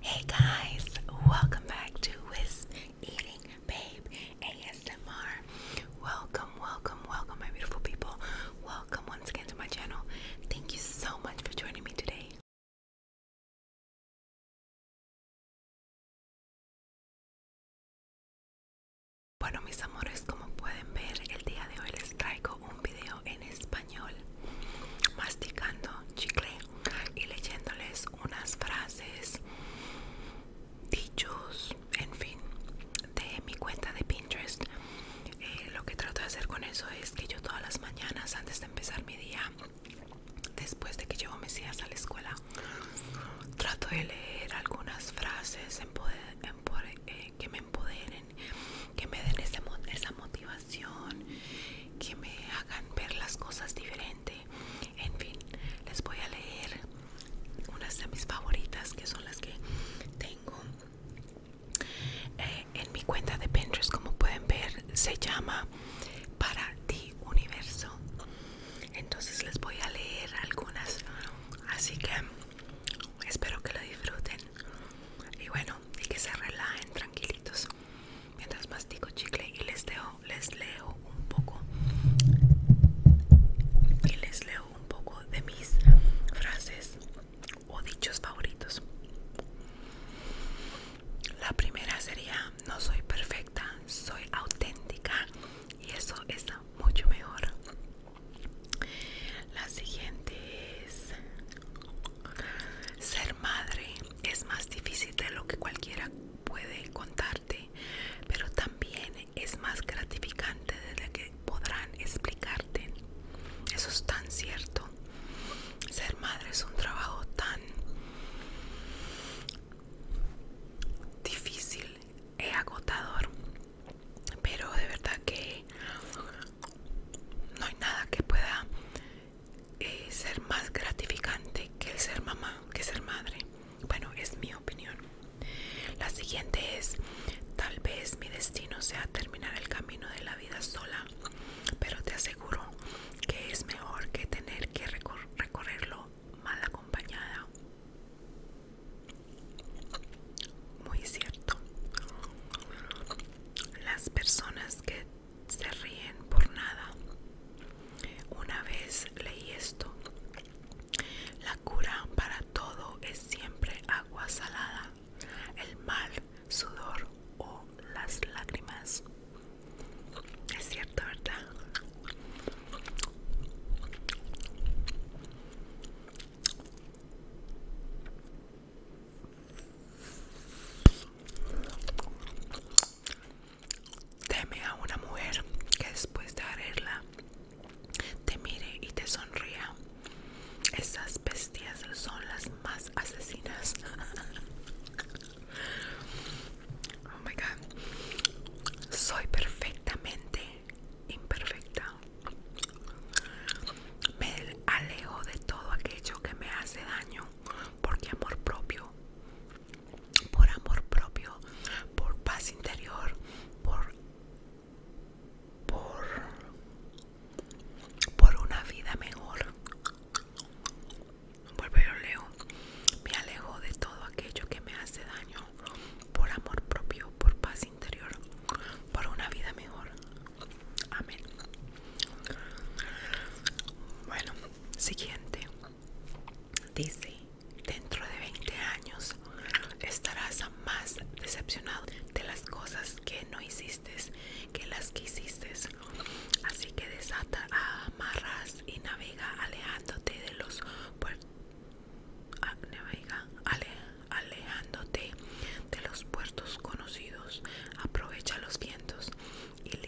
Hey guys, welcome back to Wisp Eating Babe ASMR. Welcome, welcome, welcome, my beautiful people. Welcome once again to my channel. Thank you so much for joining me today. Bueno, mis amores, como pueden ver, el día de hoy les traigo un video en español masticando chicle y leyéndoles unas frases, dichos, en fin, de mi cuenta de Pinterest. Eh, lo que trato de hacer con eso es que yo todas las mañanas antes de empezar mi día, después de que llevo mis días a la escuela, trato de leer algunas frases eh, que me empoderen, que me den esa motivación que me hagan ver las cosas diferente. En fin, les voy a leer unas de mis favoritas que son las que tengo eh, en mi cuenta de Pinterest. Como pueden ver, se llama Para ti Universo. Entonces les voy a leer algunas. Así que espero que lo disfruten. Y bueno, y que se relajen tranquilitos mientras mastico chicle y les dejo, les leo un poco y les leo un poco de mis frases o dichos favoritos. La primera sería no soy perfecta, soy auténtica y eso es mucho mejor. La siguiente es ser madre es más difícil de lo que cualquiera puede contarte, pero también es más gratificante de lo que podrán explicarte. Eso es tan cierto. Ser madre es un trabajo tan difícil e agotador, pero de verdad que no hay nada que pueda eh, ser más gratificante que el ser mamá, que ser madre. Bueno, es mi opinión. La siguiente es, tal vez mi destino sea terminar el camino de la vida sola, pero te aseguro que es mejor que tener que recorrerlo mal acompañada. Muy cierto. Las personas que se ríen por nada. Una vez leí esto. La cura para todo es siempre agua salada, el mal, sudor o las lágrimas. Es cierto, ¿verdad? Teme a una mujer que después de arreglarla te mire y te sonría. Esas bestias son las más asesinas. oh my god. Soy perfectamente imperfecta me alejo de todo aquello que me hace daño, porque amor propio, por amor propio, por paz interior, por por por una vida mejor. Vuelvo a leo. Me alejo de todo aquello que me hace daño por amor propio, por paz interior, por una vida mejor. Amén. Bueno, siguiente. Dice, dentro de 20 años estarás más decepcionado de las cosas que no hiciste que las que hiciste. Así que desata amarras y navega alejándote de los puertos. Ah, navega alejándote de los puertos conocidos, aprovecha los vientos y de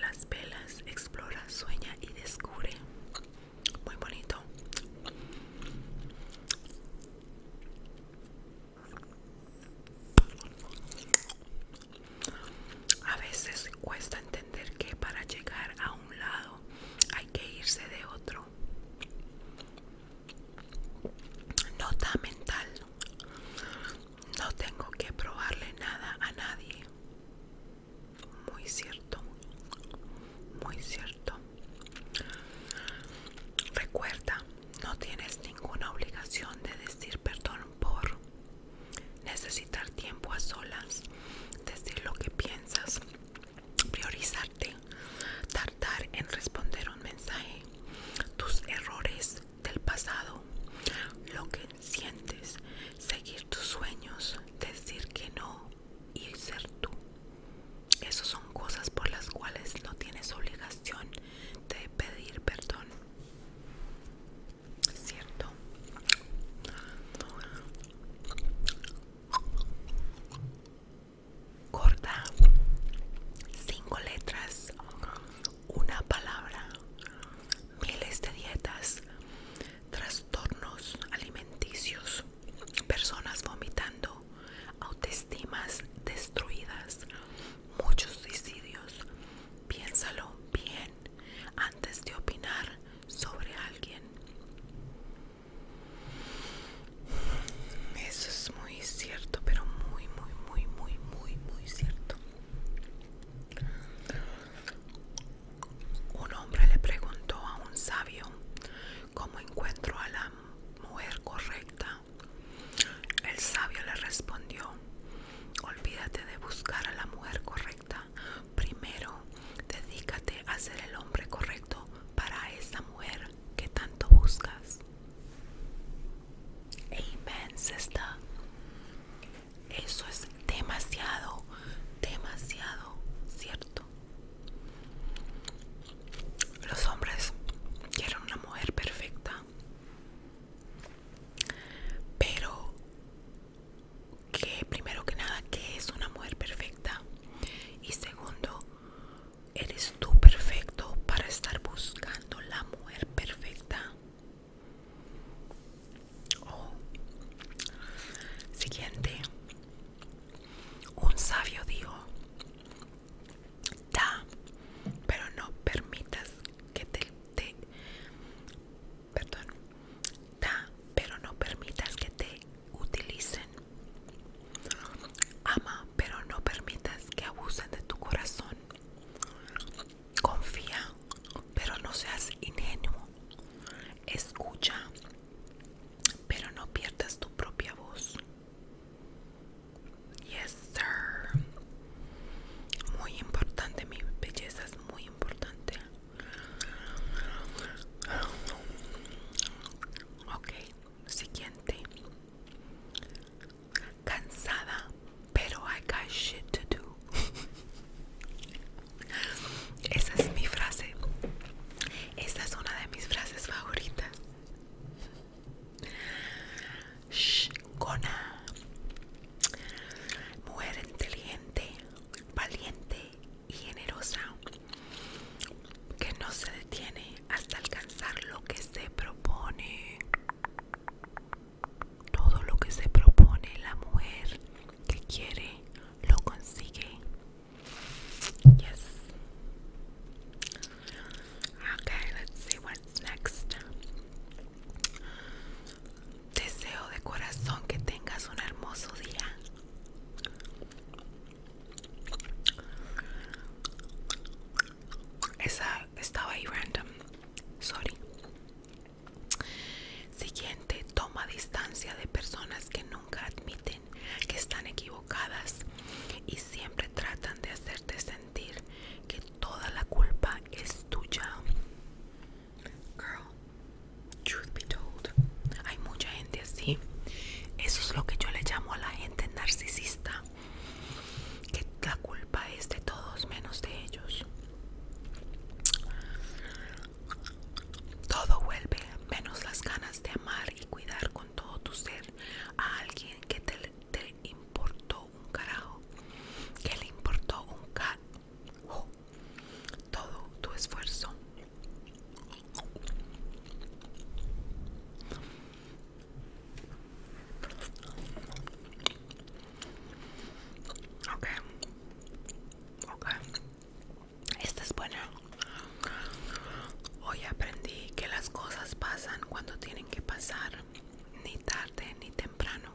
las velas, explora, sueña y descubre. Muy bonito. A veces cuesta entender que para llegar a un lado hay que irse de otro. Nota mental. No tengo que probarle nada a nadie. Muy cierto. Muy cierto. Recuerda, no tienes ninguna obligación de decir perdón por necesitar tiempo a solas, decir lo que piensas, priorizarte, Tartar en responder un mensaje, tus errores del pasado, lo que sientes, seguir tus sueños, decir que no y ser tú. Esas son cosas por las cuales no tienes obligación de pedir perdón. ¿Cierto? corta, cinco letras, una palabra, miles de dietas, trastornos alimenticios, personas vomitando, autoestimas destruidas, muchos suicidios. Piénsalo bien antes de opinar sobre alguien. Eso es muy cierto, pero muy, muy, muy, muy, muy, muy cierto. Un hombre le preguntó a un sabio cómo encuentro a la mujer correcta. El sabio le respondió, olvídate de buscar a la mujer correcta. Primero, dedícate a ser el hombre correcto para esa mujer que tanto buscas. Amen, está. Eso es demasiado, demasiado cierto. Los hombres quieren una mujer perfecta, pero que primero que nada, que es una mujer perfecta? Y segundo, ¿Eres tú perfecto para estar buscando la mujer perfecta? Oh. Siguiente. Un sabio dijo, da, pero no permitas que te, te... Perdón. Da, pero no permitas que te utilicen. Ama, pero no permitas que abusen de tu corazón. Confía, pero no seas ingenuo. Escucha, pero no pierdas tu propia voz. Yes, sir. Muy importante, mi belleza es muy importante. Ok, siguiente. Cansada, pero I got shit to do. Esa es mi frase. Esta es una de mis frases favoritas. Shh, Gona. Mujer inteligente, valiente y generosa que no se detiene hasta alcanzar lo que se propone. Todo lo que se propone la mujer que quiere lo consigue. Yes. Okay, let's see what's next. Deseo de corazón que tengas un hermoso día. Esa estaba ahí random. Sorry. Siguiente, toma distancia de personas que nunca admiten que están equivocadas y siempre tratan de hacerte sentir que toda la culpa es tuya. Girl, truth be told, hay mucha gente así. Eso es lo que yo le llamo a la gente narcisista. Que la culpa es de todos menos de ellos. Todo vuelve, menos las ganas de amar y cuidar con todo tu ser a alguien que te, te importó un carajo. Que le importó un carajo. Oh, todo tu esfuerzo, Ok, ok, esta es buena. Hoy aprendí que las cosas pasan cuando tienen que pasar, ni tarde ni temprano.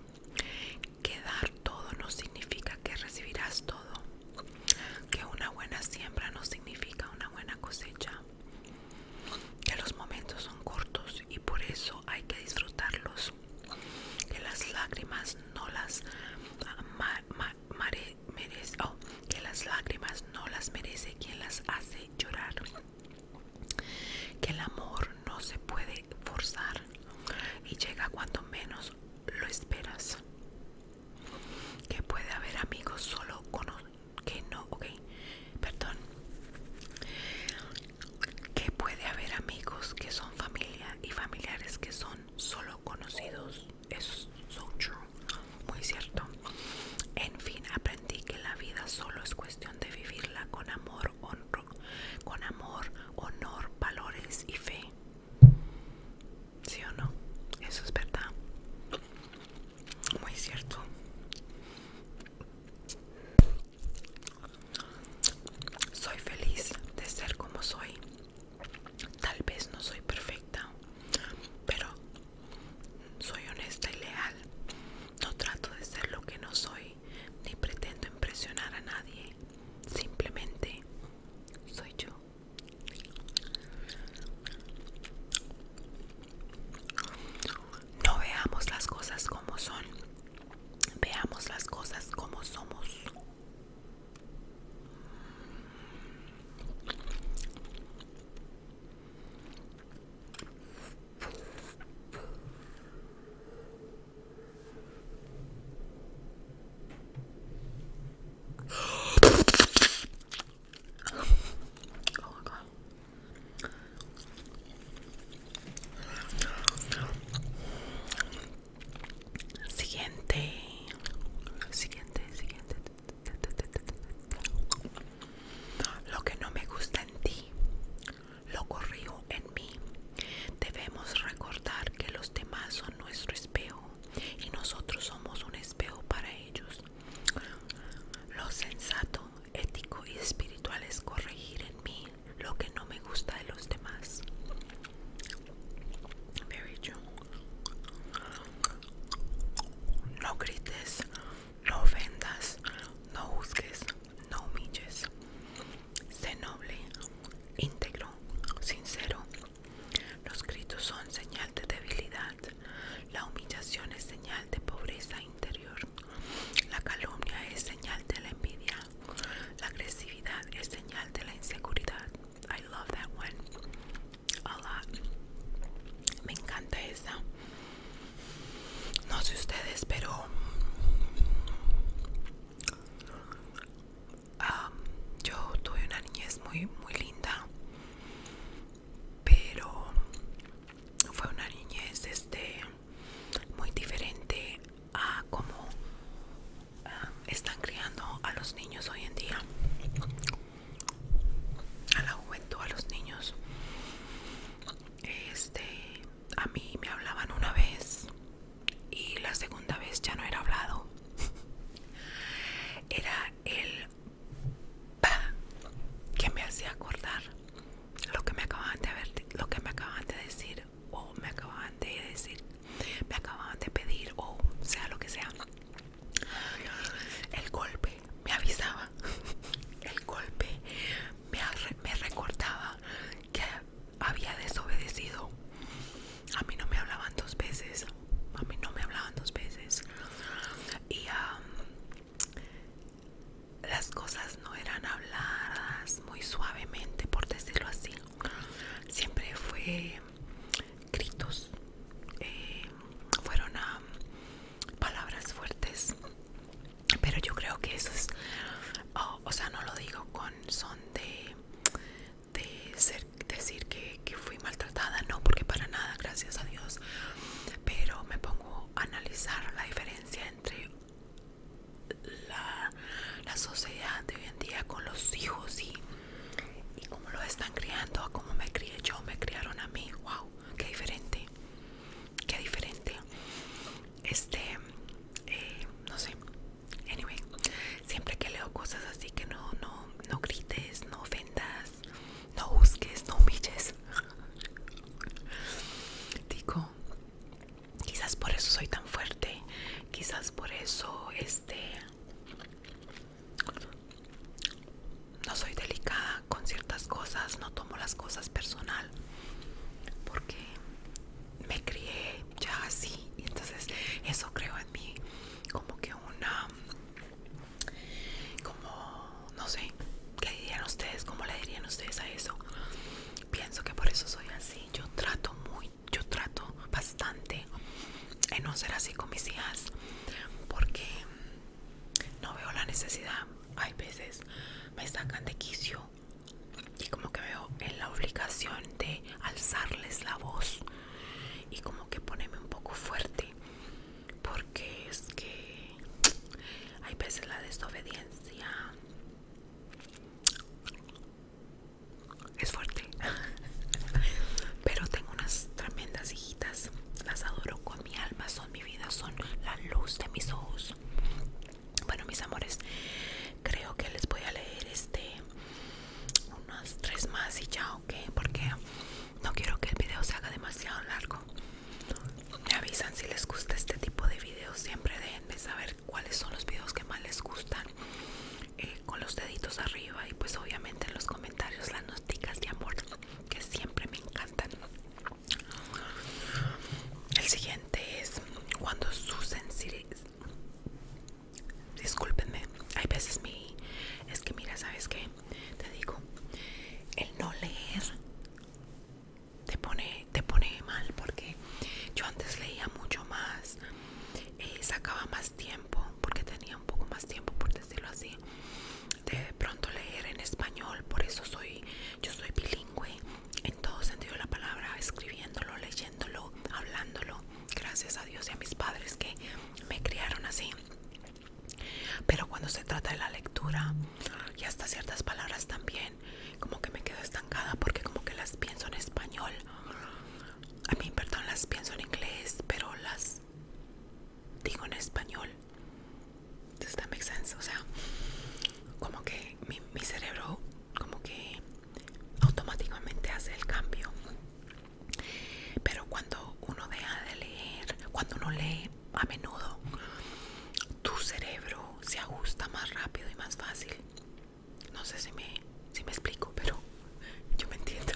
Quedar todo no significa que recibirás todo que una buena siembra no significa una buena cosecha, que los momentos son cortos y por eso hay que disfrutarlos, que las lágrimas no las oh, que las lágrimas no las merece quien las hace llorar, que el amor no se puede forzar y llega cuando menos lo esperas que puede haber amigos solo que no, ok, perdón, que puede haber amigos que son familia y familiares que son solo conocidos. Es muy cierto. En fin, aprendí que la vida solo es cuestión de vivirla con amor, honro, con amor, honor, valores y fe. ¿Sí o no? Eso es verdad. Muy cierto. Soy feliz de ser como soy. Tal vez no soy perfecta, pero soy honesta y leal. No trato de ser lo que no soy, ni pretendo impresionar a nadie. Simplemente soy yo. No veamos las cosas como son, veamos las cosas como somos. Siguiente. Siguiente, siguiente. Lo que no me gusta en ti, lo corrijo en mí. Debemos recordar que los demás son nuestro espejo y nosotros somos un espejo para ellos. Lo sensato, ético y espiritual es corregir en mí lo que no me gusta de los demás. No grites, no ofendas, no busques, no humilles. Sé noble, íntegro, sincero, los gritos son señal de debilidad. La humillación es señal de pobreza interior. La calumnia es señal de la envidia. La agresividad es señal de la inseguridad. I love that one. A lot. Me encanta esa. No sé ustedes, pero yo tuve una niñez muy muy linda pero fue una niñez este muy diferente a cómo están criando a los niños hoy en día a la juventud a los niños este a mí me hablaban una vez y la segunda vez ya no era hablado era el que me hacía acordar lo que me acababan de ver lo que me acaban de decir o me acababan de decir me acababan de pedir o sea lo que sea el golpe me avisaba el golpe me, me recordaba que había desobedecido. A mí no me hablaban dos veces. A mí no me hablaban dos veces. Y las cosas no eran habladas muy suavemente, por decirlo así. Siempre fue gritos. Eh, fueron a palabras fuertes. Pero yo creo que eso es... Oh, o sea, no lo digo con son de de ser, decir que, fui maltratada, no, porque para nada, gracias a Dios, pero me pongo a analizar la diferencia entre la, sociedad de hoy en día con los hijos y, y cómo lo están criando, a cómo me crié yo, me criaron a mí, wow, qué diferente, qué diferente, este, eh, no sé. Anyway, siempre que leo cosas así que no, no, no grites, no ofendas, no busques, no humilles. Digo, quizás por eso soy tan fuerte, quizás por eso este no soy delicada con ciertas cosas, no tomo las cosas personal, porque me crié ya así y entonces eso creo en mí como que una como no sé qué dirían ustedes cómo le dirían ustedes a eso pienso que por eso soy así yo trato muy yo trato bastante en no ser así con mis hijas porque no veo la necesidad hay veces me sacan de quicio y como que veo en la obligación de alzarles la voz y como que ponerme un poco fuerte porque es que hay veces la desobediencia es fuerte pero tengo unas tremendas hijitas las adoro con mi alma son mi vida son la luz de mis ojos bueno, mis amores, creo que les voy a leer este unos tres más y ya, ok, porque no quiero que el video se haga demasiado largo. Me avisan si les gusta este tipo de videos, siempre de saber cuáles son los videos que más les gustan. Eh, con los deditos arriba y pues obviamente en los comentarios las noticas de amor que siempre me encantan. El siguiente es cuando sensibilidades discúlpenme hay veces mi es que mira sabes qué te digo el no leer te pone te pone mal porque yo antes leía mucho más y eh, sacaba más tiempo porque tenía un poco más tiempo por decirlo así de pronto leer en español por eso soy yo soy bilingüe en todo sentido de la palabra escribiéndolo leyendo hablándolo, gracias a Dios y a mis padres que me criaron así. Pero cuando se trata de la lectura y hasta ciertas palabras también, como que me quedo estancada porque como que las pienso en español. A mí, perdón, las pienso en inglés, pero las digo en español. Does that sense? O sea, como que mi, mi cerebro como que automáticamente hace el cambio. Pero cuando uno deja de leer, cuando uno lee a menudo, tu cerebro se ajusta más rápido y más fácil. No sé si me, explico, pero yo me entiendo.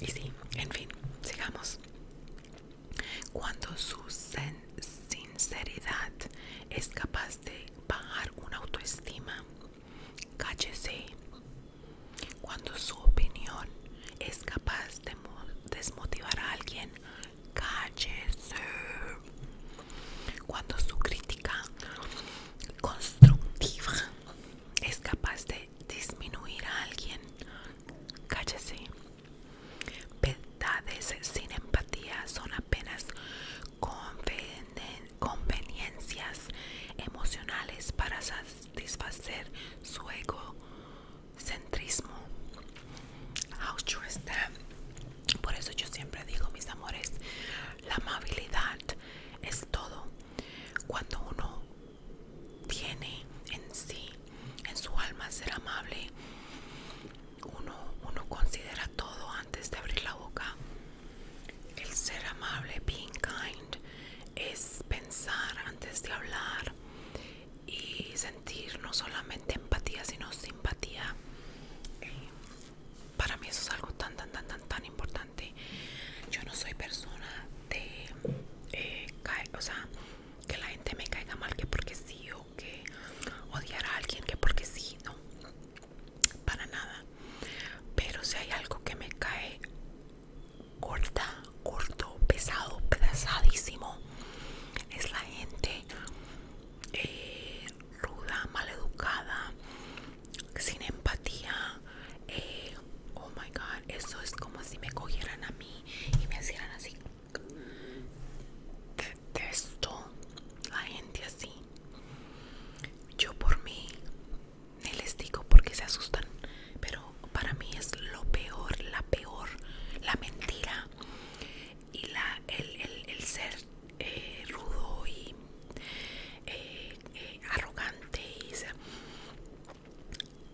Y sí, en fin, sigamos. Cuando sus sinceridad es capaz de bajar una autoestima. Cállese cuando su opinión es capaz de desmotivar a alguien. Cállese cuando su crítica constructiva es capaz de disminuir a alguien. Cállese Verdades sin empatía son apenas conveniencias emocionales para satisfacer su egocentrismo. How true Por eso yo siempre digo, mis amores, la amabilidad es todo. Cuando uno tiene en sí, en su alma, ser amable, uno, uno considera todo antes de abrir la boca. El ser amable, being kind, es pensar antes de hablar y sentir no solamente empatía, sino simpatía. Eh, para mí eso es algo tan, tan, tan, tan, tan importante. Yo no soy persona de, eh, o sea, que la gente me caiga mal, que porque sí que odiar a alguien que porque sí, no, para nada. Pero si hay algo que me cae corta, corto, pesado, pesadísimo, es la gente eh, ruda, maleducada, sin empatía. Eh, oh my god, eso es como si me cogieran a mí y me hicieran así. Detesto la gente así. Yo por mí, les digo porque se asustan, pero para mí es lo peor, la peor, la mentira y la, el, ser eh, rudo y eh, eh, arrogante.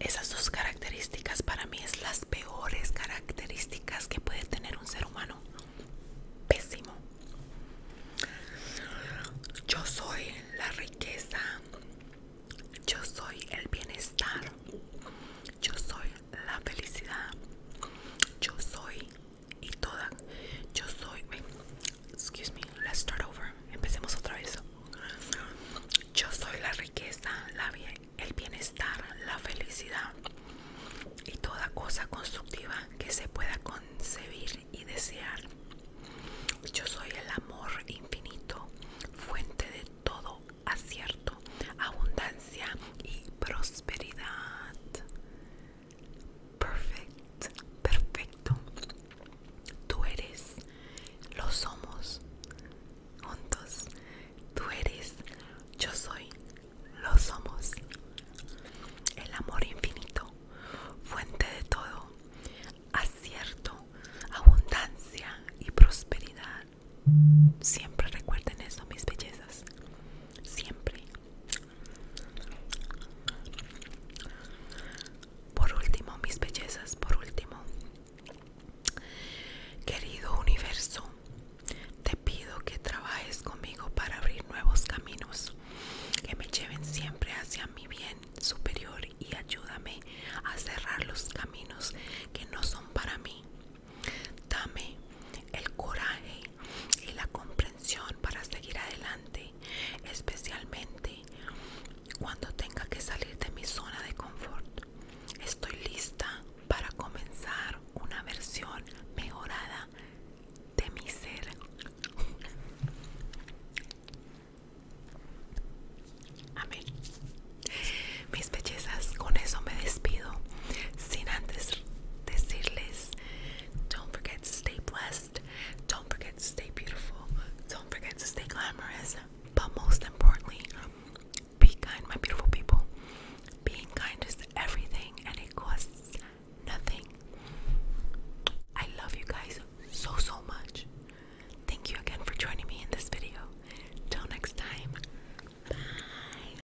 Esas dos características para mí es las peores características que puede tener un ser humano. Pésimo. Yo soy la riqueza. Yo soy el bienestar. Yo soy la felicidad. Yo soy y toda. Yo soy. Excuse me. Let's start over. Empecemos otra vez. Yo soy la riqueza, la, el bienestar, la felicidad y toda cosa constructiva que se pueda concebir y desear. Yo soy el amor infinito, fuente de todo acierto, abundancia y prosperidad. Perfecto, perfecto. Tú eres, lo somos, juntos. Tú eres, yo soy, lo somos. El amor infinito, fuente de todo, acierto, abundancia y prosperidad. Siempre recuerden eso, mis bellezas. Siempre. Por último, mis bellezas, por último, Querido universo, te pido que trabajes conmigo para abrir nuevos caminos, que me lleven siempre hacia mi bien superior y ayúdame a cerrar los caminos que no son para mí. Dame el coraje y la comprensión para seguir adelante, especialmente cuando tenga que salir de mi zona de confort. Estoy lista para comenzar una versión mejorada de mi ser. Amén. Mis bellezas, con eso me despido. Sin antes decirles, don't forget to stay blessed, don't forget to stay beautiful, don't forget to stay glamorous, but most importantly, Be kind, my beautiful people. Being kind is everything and it costs nothing. I love you guys so, so much. Thank you again for joining me in this video. Till next time, bye.